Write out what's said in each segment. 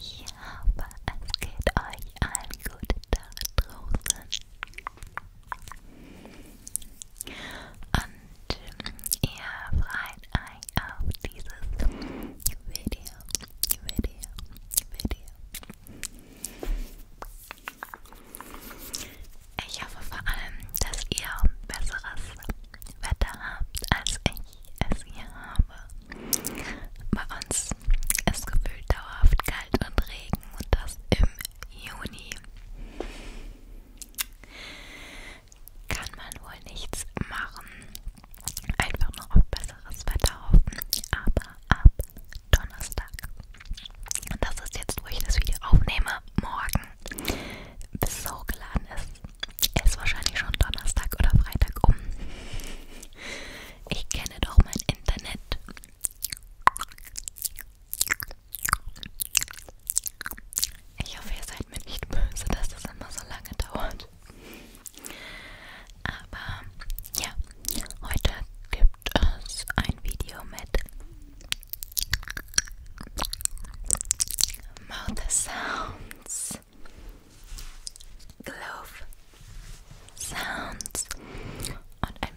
Ich hoffe, es geht euch allen gut da draußen. Und ähm, ihr freut euch auf dieses Video, Video, Video. Ich hoffe vor allem, dass ihr besseres Wetter habt, als ich es hier habe. Bei uns ist gefühlt dauerhaft kalt und Regen und das im Juni. Kann man wohl nichts machen. Einfach nur auf besseres Wetter hoffen. Aber ab Donnerstag. Und das ist jetzt, wo ich das Video aufnehme. Morgen bis es hochgeladen ist. Ist wahrscheinlich schon Donnerstag oder Freitag um. Ich kenne doch mein Internet. Ich hoffe, ihr seid mir nicht böse, dass das immer so lange dauert. Aber ja, heute gibt es ein Video mit Mouth sounds, Glove sounds und ein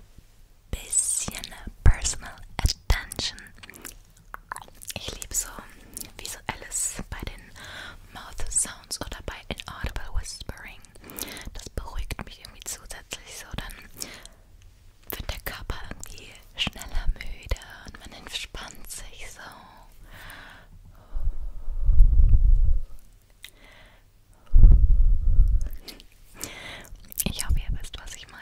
bisschen personal attention. Ich liebe so visuelles bei den Mouth Sounds oder bei Inaudible Whispering. Das beruhigt mich irgendwie zusätzlich so. Dann wird der Körper irgendwie schneller müde und man entspannt sich so. Ich hoffe, ihr wisst, was ich meine.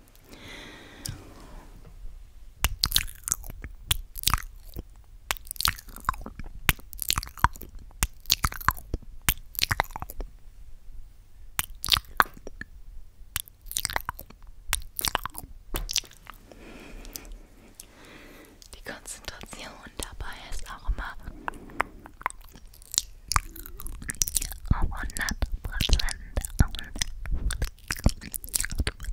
Die Konzentration dabei ist auch immer auf 100 Prozent. Konzentriere dich auf den Pinsel.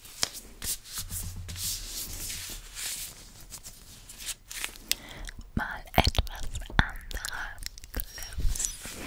Mal etwas anderer Clips.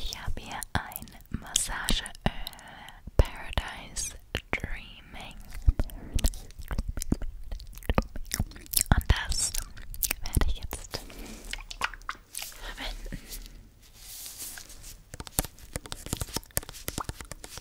Ich habe hier ein Massageöl äh, Paradise Dreaming. Und das werde ich jetzt verwenden.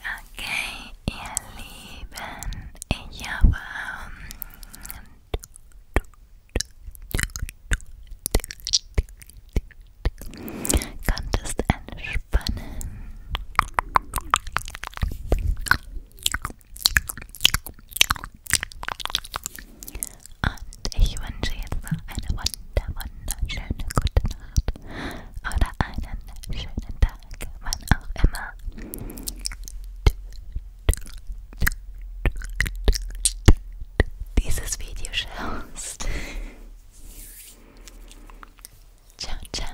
Okay, ihr Lieben, ich habe konntest entspannen. Und ich wünsche jetzt noch eine wunder, wunderschöne gute Nacht oder einen schönen Tag, wann auch immer. Dieses Video schaust. Ciao, ciao.